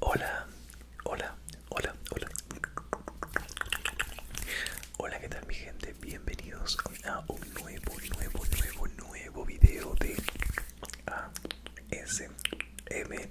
Hola, hola, hola, hola. Hola, ¿qué tal mi gente? Bienvenidos a un nuevo, nuevo, nuevo, nuevo video de ASMR.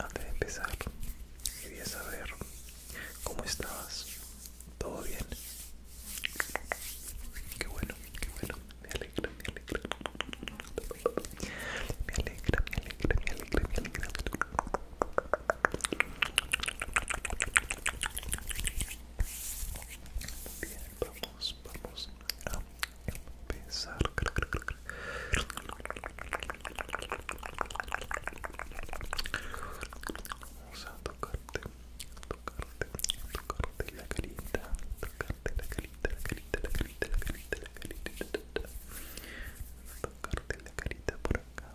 Antes de empezar, quería saber cómo estabas. ¿Todo bien? Qué bueno, qué bueno. Me alegra, me alegra. Me alegra, me alegra, me alegra, me alegra. Bien, vamos, vamos a empezar. Vamos a tocarte, tocarte, tocarte la carita, tocarte la la la carita, la carita, la carita, la carita, la carita. tocarte la carita por acá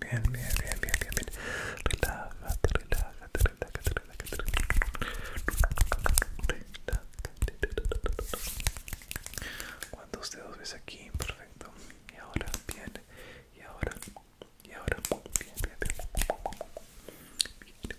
Bien, bien, bien, bien, bien, bien, bien. Relájate, relájate, relájate, relájate. ¿Cuántos dedos ves aquí? Perfecto. Y ahora, bien. Y ahora, y ahora, bien, bien, bien. bien, bien.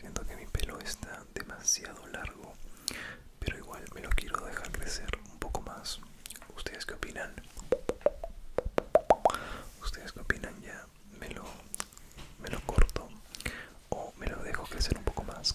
Siento que mi pelo está demasiado largo, pero igual me lo quiero dejar crecer un poco más. ¿Ustedes qué opinan? ¿Ustedes qué opinan? Ya me lo, me lo corto o me lo dejo crecer un poco más.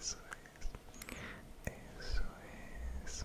eso es, eso es.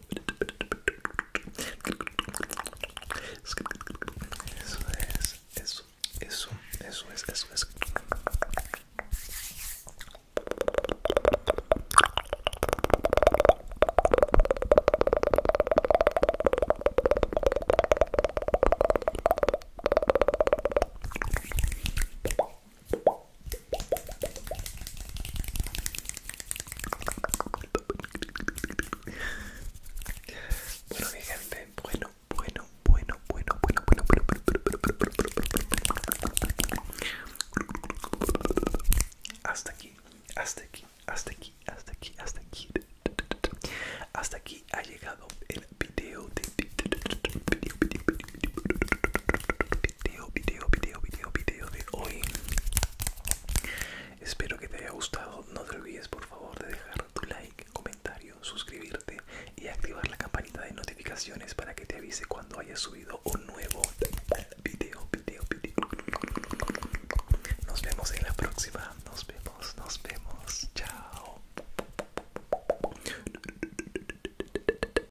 Eso es, eso, eso, eso es, eso es. Bueno, gente, bueno, bueno, bueno, bueno, bueno, bueno, bueno, hasta aquí, hasta aquí, hasta aquí, hasta aquí, hasta aquí, hasta aquí ha llegado el video de video, video, video, video, video de hoy. Espero que te haya gustado. No te olvides, por favor, de dejar tu like, comentario, suscribirte y activar la campanita de notificaciones para que te avise cuando haya subido un nuevo video, video, video. Nos vemos en la próxima. Nos vemos, nos vemos. Chao.